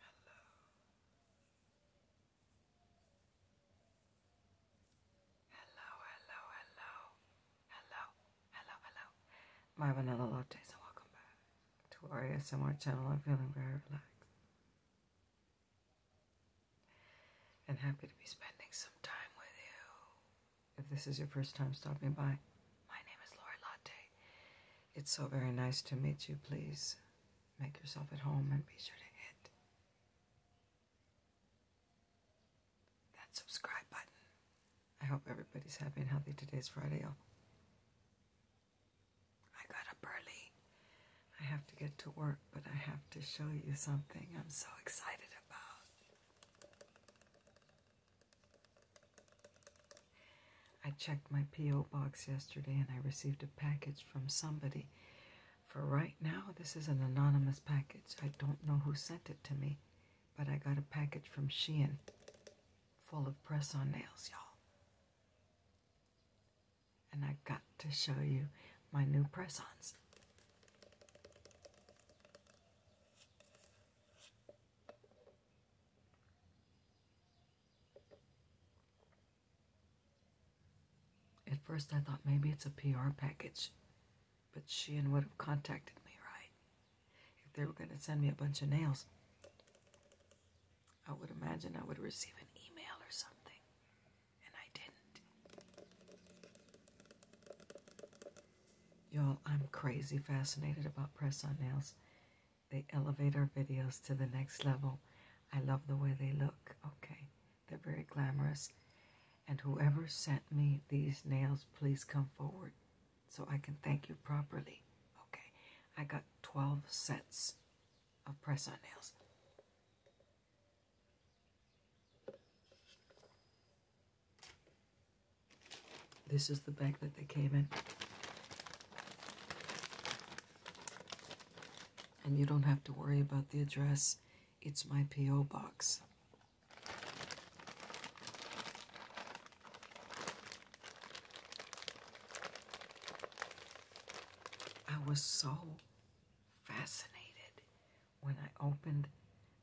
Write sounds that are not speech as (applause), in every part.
Hello. Hello, hello, hello. Hello, hello, hello. My vanilla lattes and welcome back to ASMR channel. I'm feeling very relaxed. And happy to be spending some time with you if this is your first time stopping by. My name is Lori Latte. It's so very nice to meet you. Please make yourself at home and be sure to hit that subscribe button. I hope everybody's happy and healthy. Today's Friday. I got up early. I have to get to work, but I have to show you something I'm so excited about. I checked my P.O. box yesterday and I received a package from somebody. For right now, this is an anonymous package. I don't know who sent it to me, but I got a package from Shein full of press on nails, y'all. And I got to show you my new press ons. At first, I thought maybe it's a PR package, but she and would have contacted me, right? If they were going to send me a bunch of nails, I would imagine I would receive an email or something, and I didn't. Y'all, I'm crazy fascinated about press on nails. They elevate our videos to the next level. I love the way they look. Okay, they're very glamorous. And whoever sent me these nails, please come forward so I can thank you properly. Okay, I got 12 sets of press on nails. This is the bag that they came in. And you don't have to worry about the address. It's my P.O. box. I was so fascinated when I opened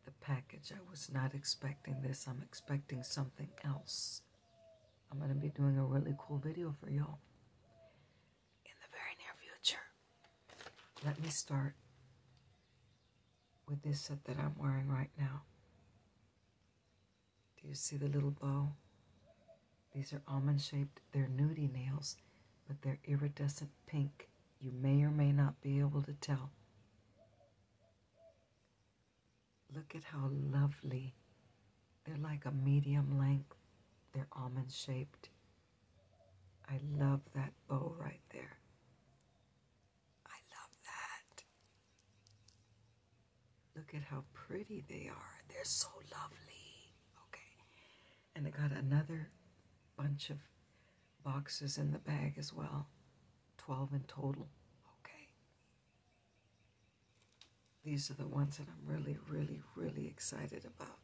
the package. I was not expecting this. I'm expecting something else. I'm going to be doing a really cool video for y'all in the very near future. Let me start with this set that I'm wearing right now. Do you see the little bow? These are almond shaped. They're nudie nails, but they're iridescent pink. You may or may not be able to tell. Look at how lovely. They're like a medium length. They're almond shaped. I love that bow right there. I love that. Look at how pretty they are. They're so lovely. Okay. And I got another bunch of boxes in the bag as well. 12 in total. Okay. These are the ones that I'm really, really, really excited about.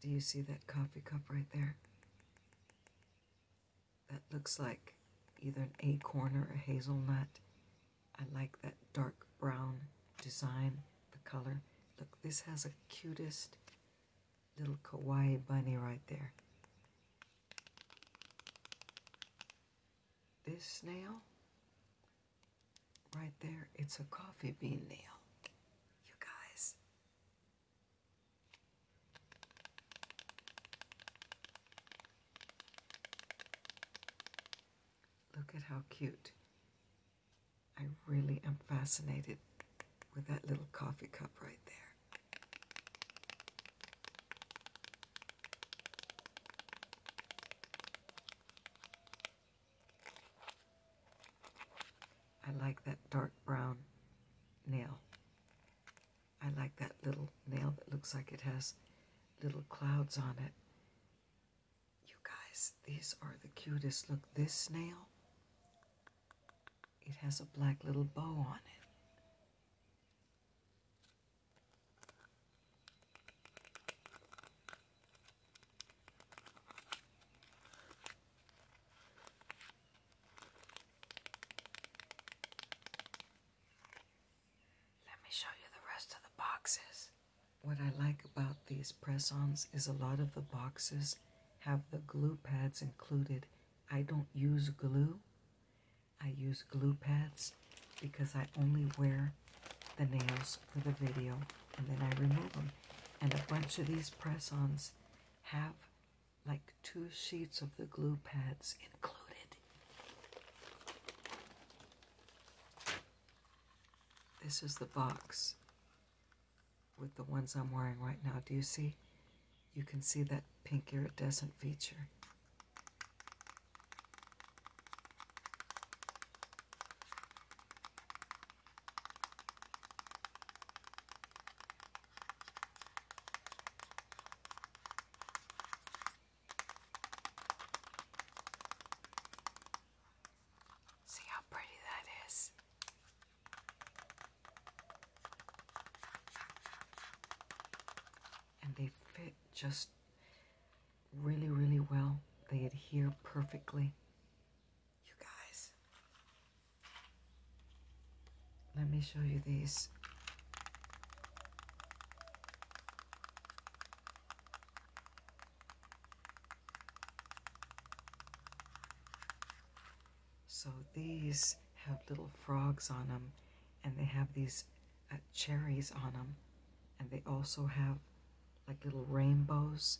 Do you see that coffee cup right there? that looks like either an acorn or a hazelnut. I like that dark brown design, the color. Look, this has a cutest little kawaii bunny right there. This nail, right there, it's a coffee bean nail. You guys, Look at how cute. I really am fascinated with that little coffee cup right there. I like that dark brown nail. I like that little nail that looks like it has little clouds on it. You guys, these are the cutest. Look, this nail, it has a black little bow on it. Let me show you the rest of the boxes. What I like about these press ons is a lot of the boxes have the glue pads included. I don't use glue, I use glue pads because I only wear the nails for the video and then I remove them. And a bunch of these press ons have like two sheets of the glue pads included. This is the box with the ones I'm wearing right now. Do you see? You can see that pink iridescent feature. See how pretty that is. And they fit just really, really well. They adhere perfectly. You guys, let me show you these. So these have little frogs on them, and they have these uh, cherries on them, and they also have like little rainbows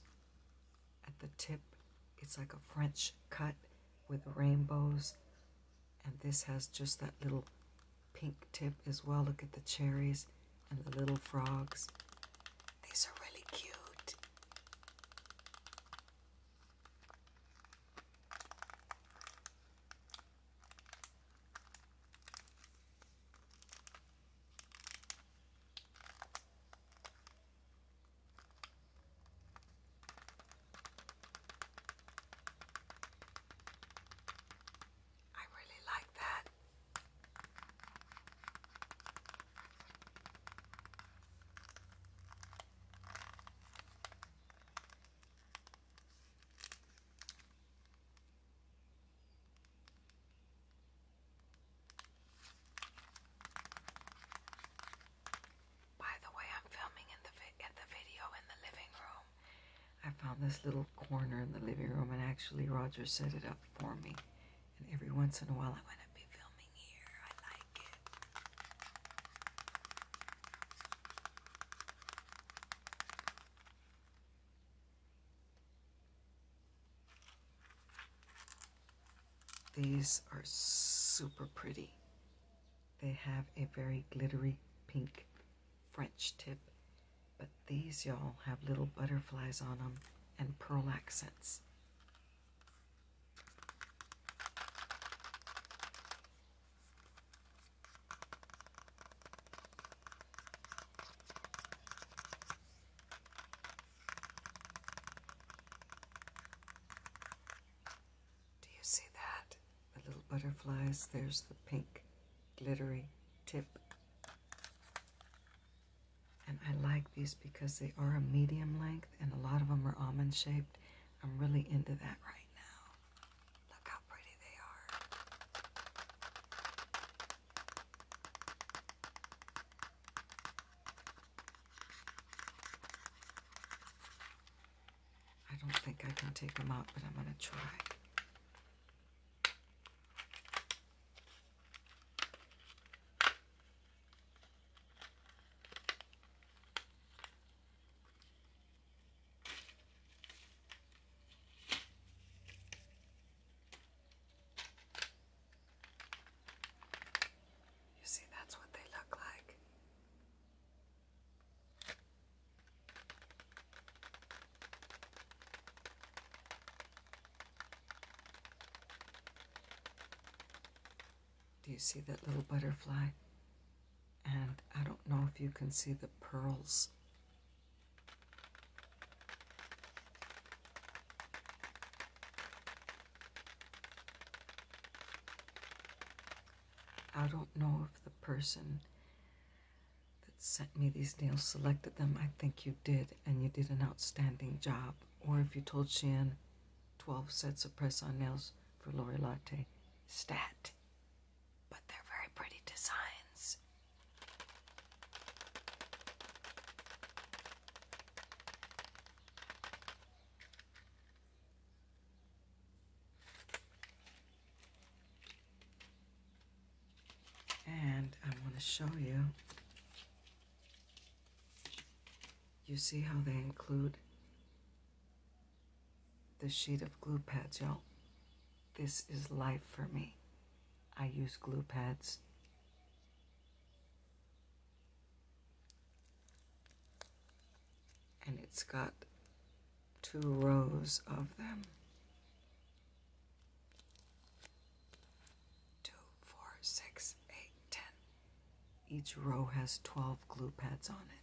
at the tip. It's like a French cut with rainbows and this has just that little pink tip as well. Look at the cherries and the little frogs. These are really cute. I really like that. By the way, I'm filming in the at the video in the living room. I found this little corner in the living room, and actually Roger set it up for me. And every once in a while, I'm going to be filming here. I like it. These are super pretty. They have a very glittery pink French tip, but these y'all have little butterflies on them and pearl accents. Do you see that? The little butterflies. There's the pink glittery tip. And I like these because they are a medium length and a lot of them are almond shaped. I'm really into that right now. Look how pretty they are. I don't think I can take them out, but I'm going to try. You see, that's what they look like. Do you see that little butterfly? And I don't know if you can see the pearls. I don't know if the person that sent me these nails selected them. I think you did, and you did an outstanding job. Or if you told Shein 12 sets of press on nails for Lori Latte, stat. But they're very pretty designs. And I want to show you. You see how they include the sheet of glue pads, y'all. This is life for me. I use glue pads and it's got two rows of them. Two, four, six, eight, ten. Each row has 12 glue pads on it.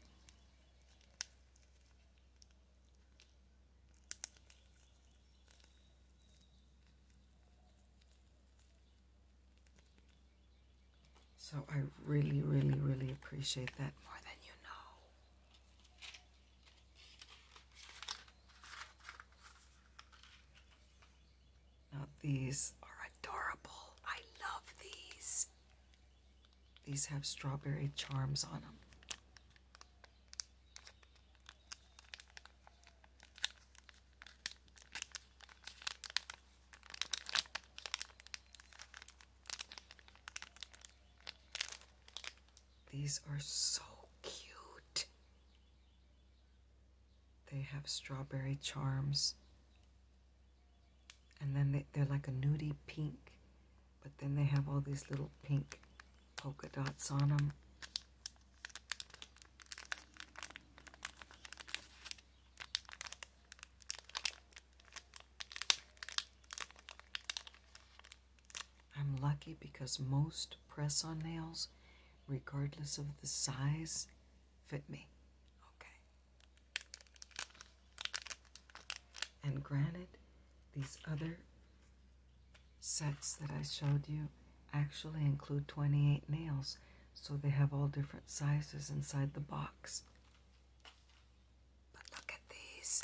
So I really, really, really appreciate that more than you know. Now these are adorable. I love these. These have strawberry charms on them. These are so cute. They have strawberry charms. And then they, are like a nudie pink. But then they have all these little pink polka dots on them. I'm lucky because most press on nails, regardless of the size, fit me. Okay. And granted, these other sets that I showed you actually include 28 nails, so they have all different sizes inside the box. But look at these.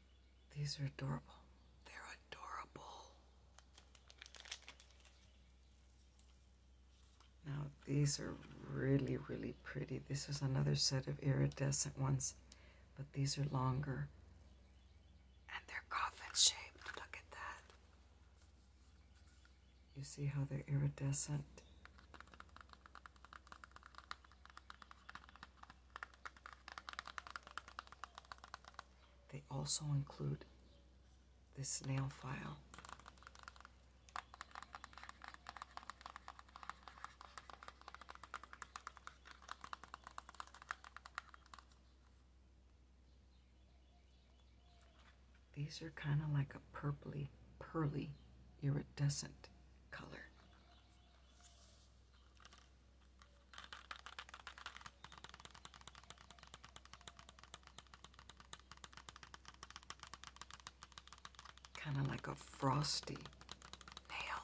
These are adorable. They're adorable. Now, these are really, really pretty. This is another set of iridescent ones, but these are longer. And they're coffin shaped. Look at that. You see how they're iridescent? They also include this nail file. These are kind of like a purpley, pearly, iridescent color. Kind of like a frosty nail.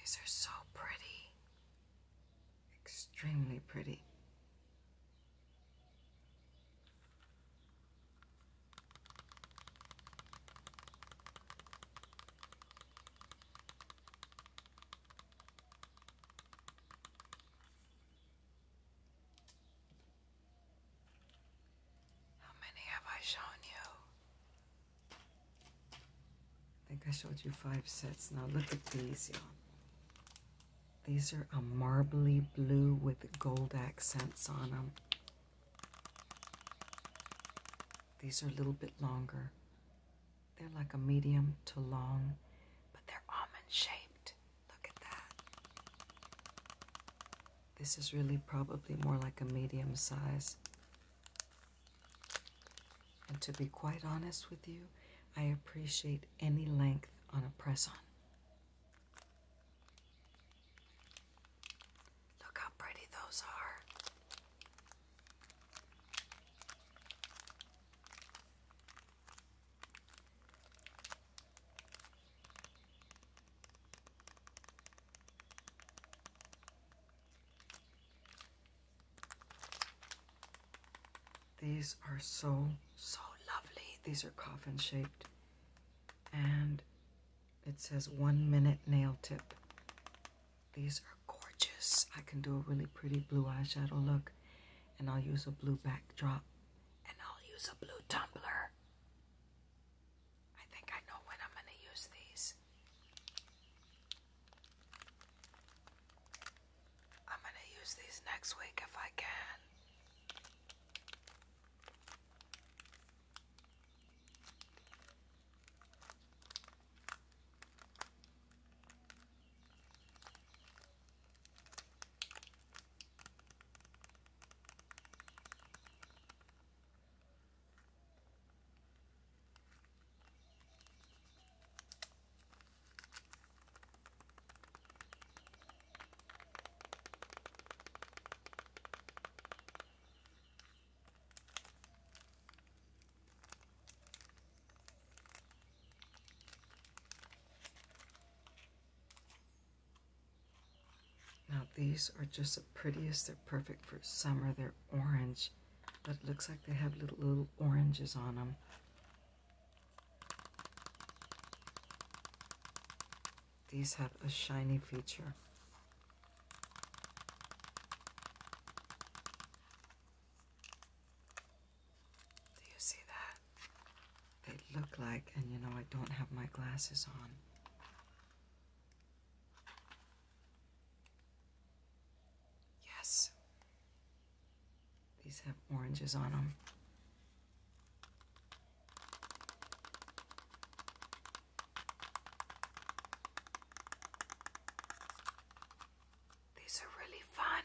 These are so pretty, extremely pretty. How many have I shown you? I think I showed you five sets. Now look at these, y'all. These are a marbly blue with gold accents on them. These are a little bit longer. They're like a medium to long, but they're almond shaped. Look at that. This is really probably more like a medium size. And to be quite honest with you, I appreciate any length on a press on. Look how pretty those are. These are so, so lovely. These are coffin shaped. And it says one minute nail tip. These are gorgeous. I can do a really pretty blue eyeshadow look. And I'll use a blue backdrop. And I'll use a blue tumbler. I think I know when I'm going to use these. I'm going to use these next week if I can. Now these are just the prettiest. They're perfect for summer. They're orange, but it looks like they have little, little oranges on them. These have a shiny feature. Do you see that? They look like, and you know, I don't have my glasses on. Yes, these have oranges on them. These are really fun.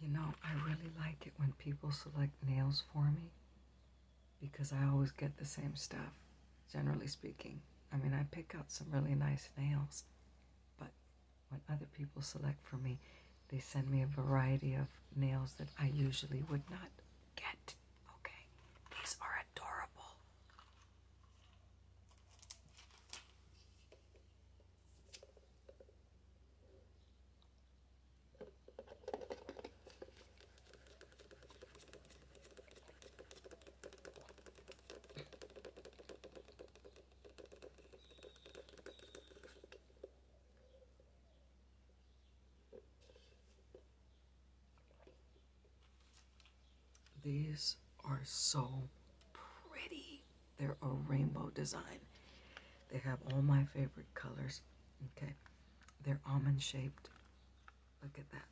You know, I really like it when people select nails for me because I always get the same stuff, generally speaking. I mean, I pick out some really nice nails, but when other people select for me, they send me a variety of nails that I usually would not get. Okay, these are adorable. These are so pretty. They're a rainbow design. They have all my favorite colors. Okay. They're almond shaped. Look at that.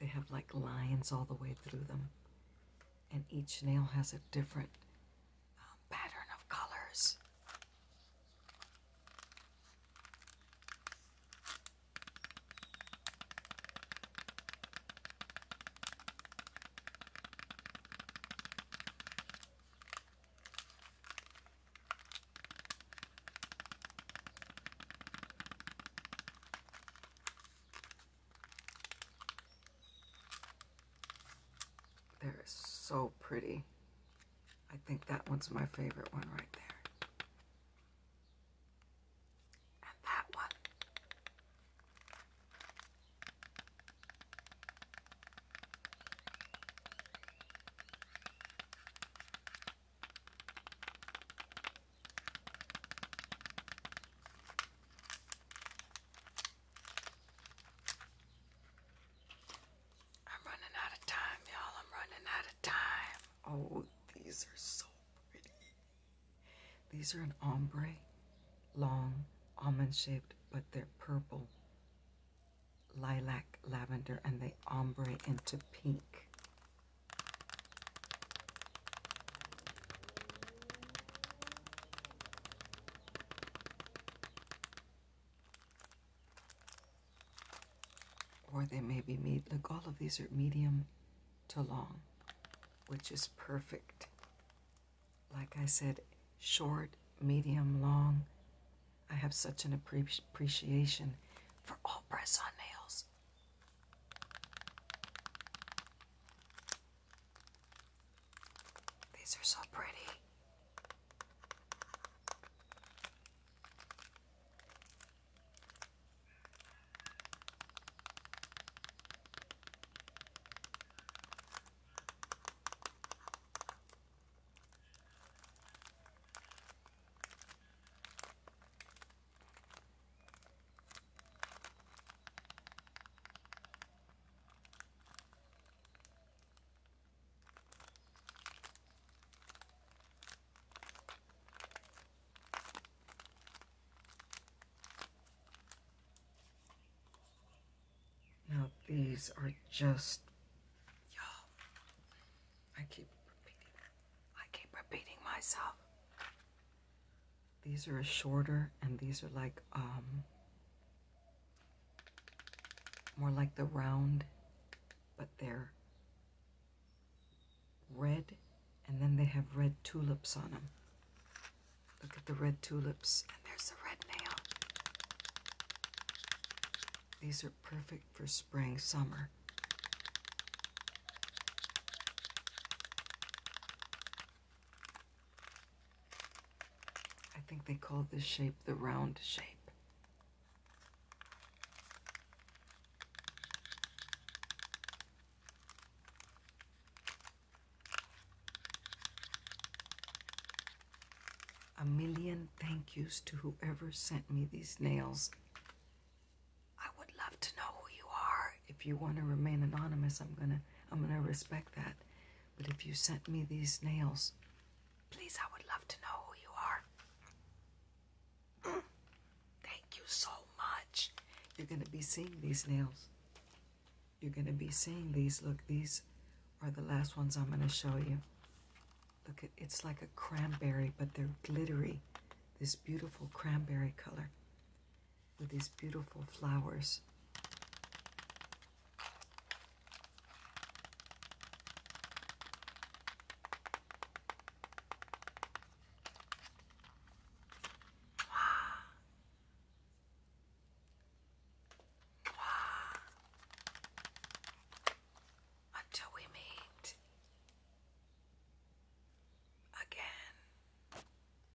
They have like lines all the way through them. And each nail has a different um, pattern of colors. They're so pretty. I think that one's my favorite one right there. And that one. I'm running out of time, y'all. I'm running out of time. Oh, these are so pretty. These are an ombre, long, almond shaped, but they're purple, lilac, lavender, and they ombre into pink. Or they may be med look, all of these are medium to long, which is perfect. Like I said, short, medium, long. I have such an appreciation for all press on nails. These are so pretty. Now these are just, y'all, I keep repeating, I keep repeating myself. These are a shorter, and these are like um, more like the round, but they're red, and then they have red tulips on them. Look at the red tulips, and there's a red nail. These are perfect for spring, summer. I think they call this shape the round shape. A million thank yous to whoever sent me these nails. I would love to know who you are if you want to remain anonymous, I'm gonna I'm gonna respect that. But if you sent me these nails, please, I would love to know who you are. (clears throat) Thank you so much. You're gonna be seeing these nails. You're gonna be seeing these. Look, these are the last ones I'm gonna show you. Look, it's like a cranberry, but they're glittery. This beautiful cranberry color with these beautiful flowers. (gasps) Until we meet again.